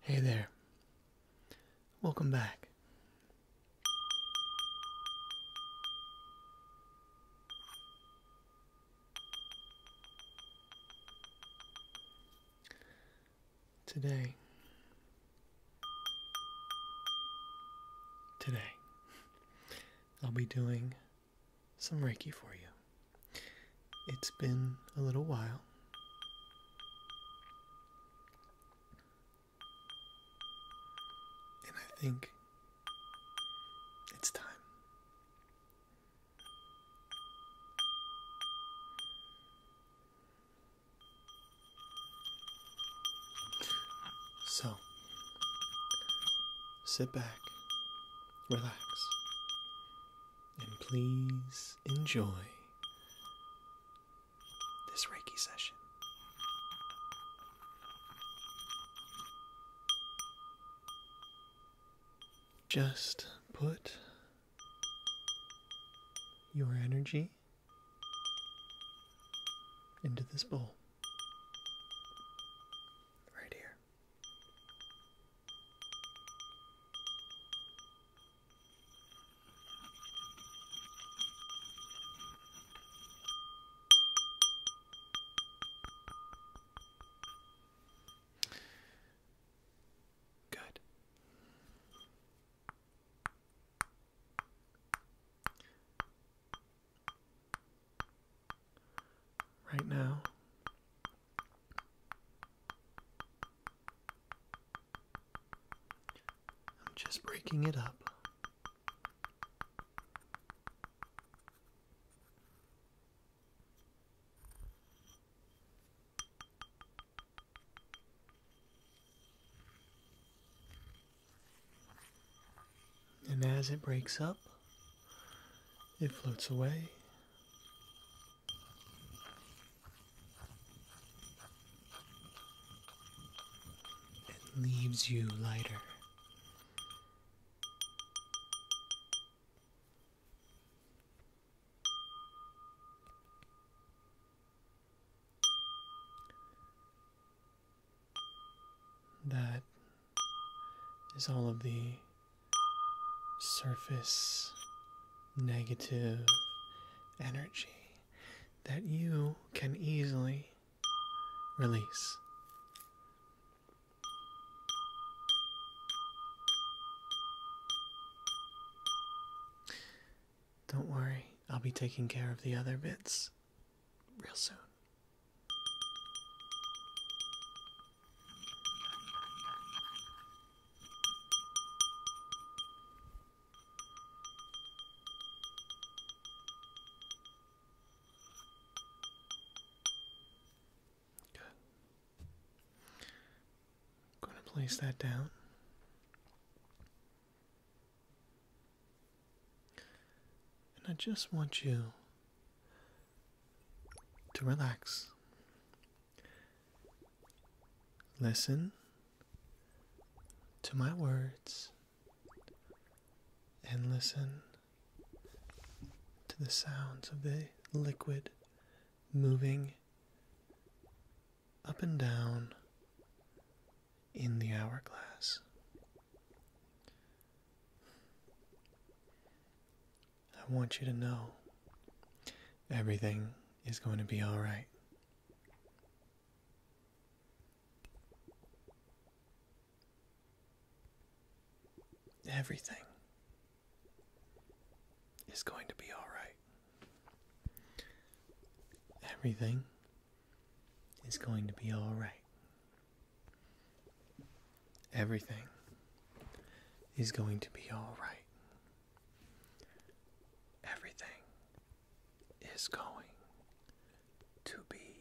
Hey there. Welcome back. Today, Today, I'll be doing some Reiki for you. It's been a little while. And I think it's time. So, sit back, relax, and please enjoy this Reiki session. Just put your energy into this bowl right here. Good right now. I'm just breaking it up. And as it breaks up, it floats away. It leaves you lighter. That is all of the surface negative energy that you can easily release. Don't worry, I'll be taking care of the other bits real soon. Good. going to place that down. And I just want you to relax. Listen to my words and listen to the sounds of the liquid moving up and down in the hourglass. I want you to know everything is going to be all right. Everything is going to be all right. Everything is going to be all right. Everything is going to be all right. Everything is going to be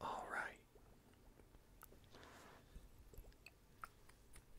all right.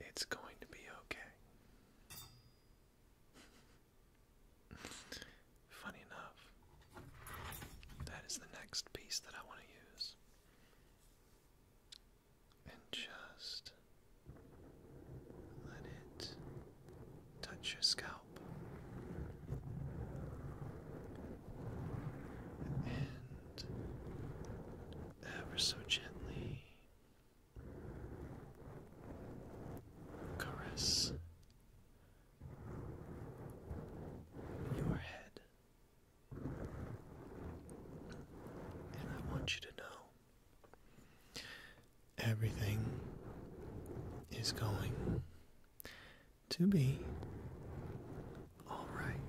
It's going to be okay. Funny enough, that is the next piece that I want to use. And just let it touch your scalp and ever so gently caress your head. And I want you to know everything is going to be all right.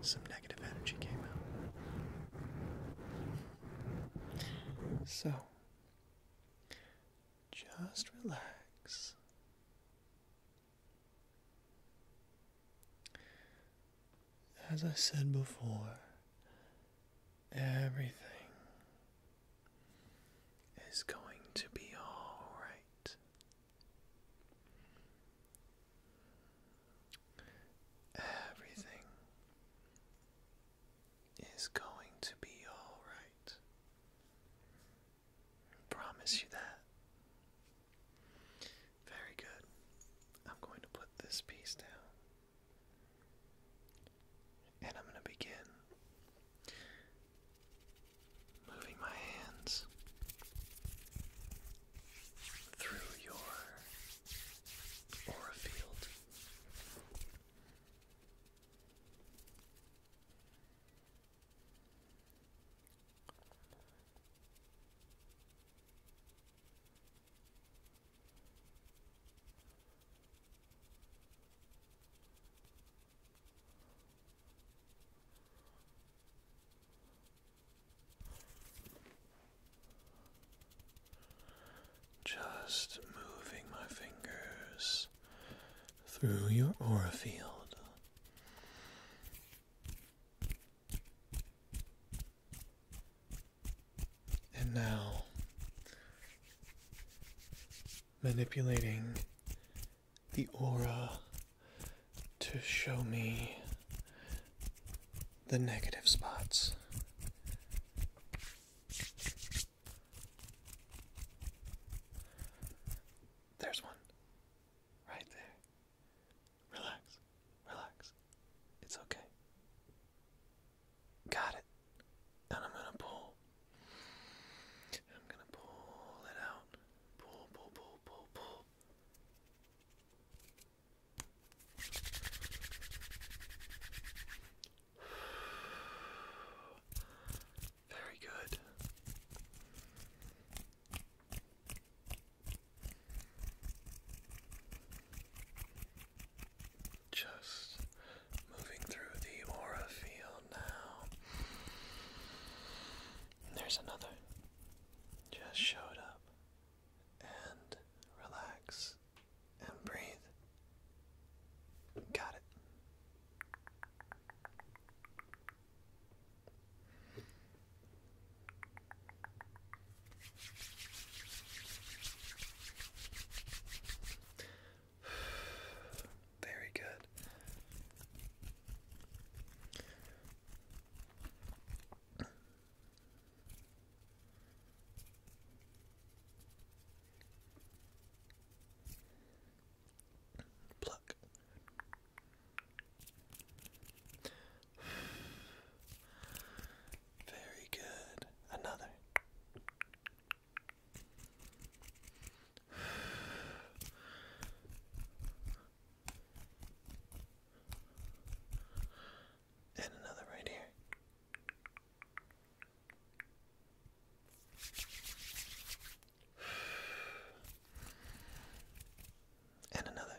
Some negative energy came out. So, just relax. As I said before, everything is going to be all right. Everything is going to be all right. I promise you that. Very good. I'm going to put this piece down. And I'm going to begin Moving my hands through your aura field. Just moving my fingers through your aura field. And now manipulating the aura to show me the negative spots. There's one. Right there. Relax. Relax. It's okay. Got it. And I'm going to pull. I'm going to pull it out. Pull, pull, pull pull, Very good. Just moving through the aura field now there's another. Just showed up. And relax. And breathe. Got it. Very good. Pluck. Very good. Another. And another right here. And another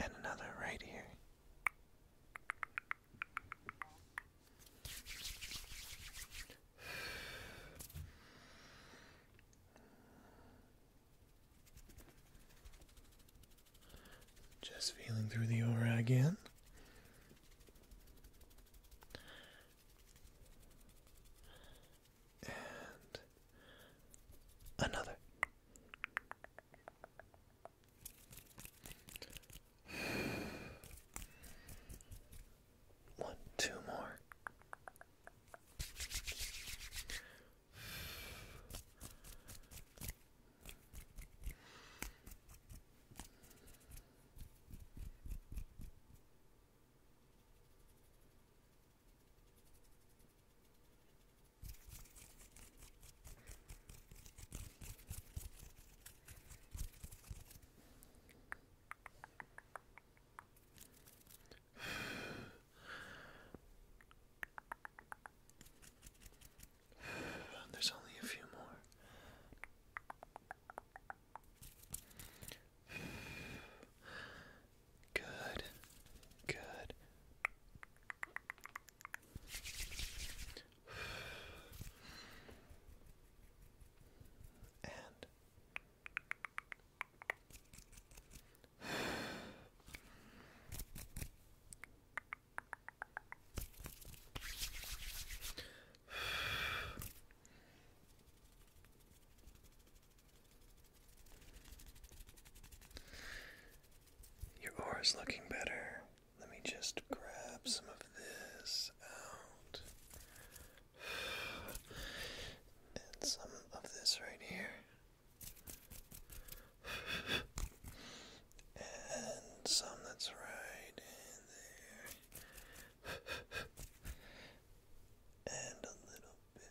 and another right here. Just feeling through the aura again. And another. One, two more. There's only a few more. Good. Good. And your aura's looking better. Let me just grab some of this out. And some of this right here. And some that's right in there. And a little bit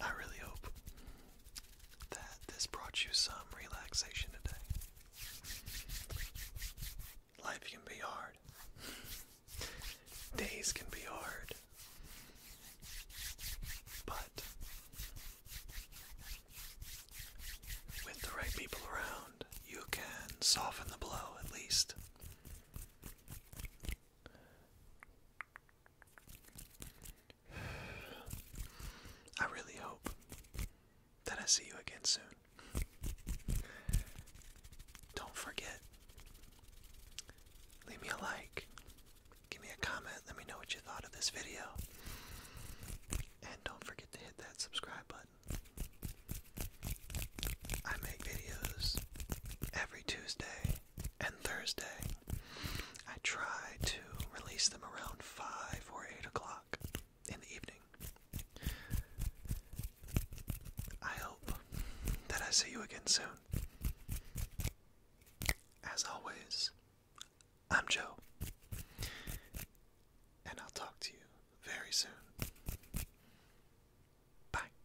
I really hope that this brought you some relaxation today. Life can be hard. Days can be hard. But with the right people around, you can soften the blow at least. I really hope that I see you again soon. Don't forget, leave me a like, give me a comment, let me know what you thought of this video, and don't forget to hit that subscribe button. I make videos every Tuesday and Thursday. I try to release them around 5 or 8 o'clock in the evening. I hope that I see you again soon. As always, I'm Joe, and I'll talk to you very soon. Bye.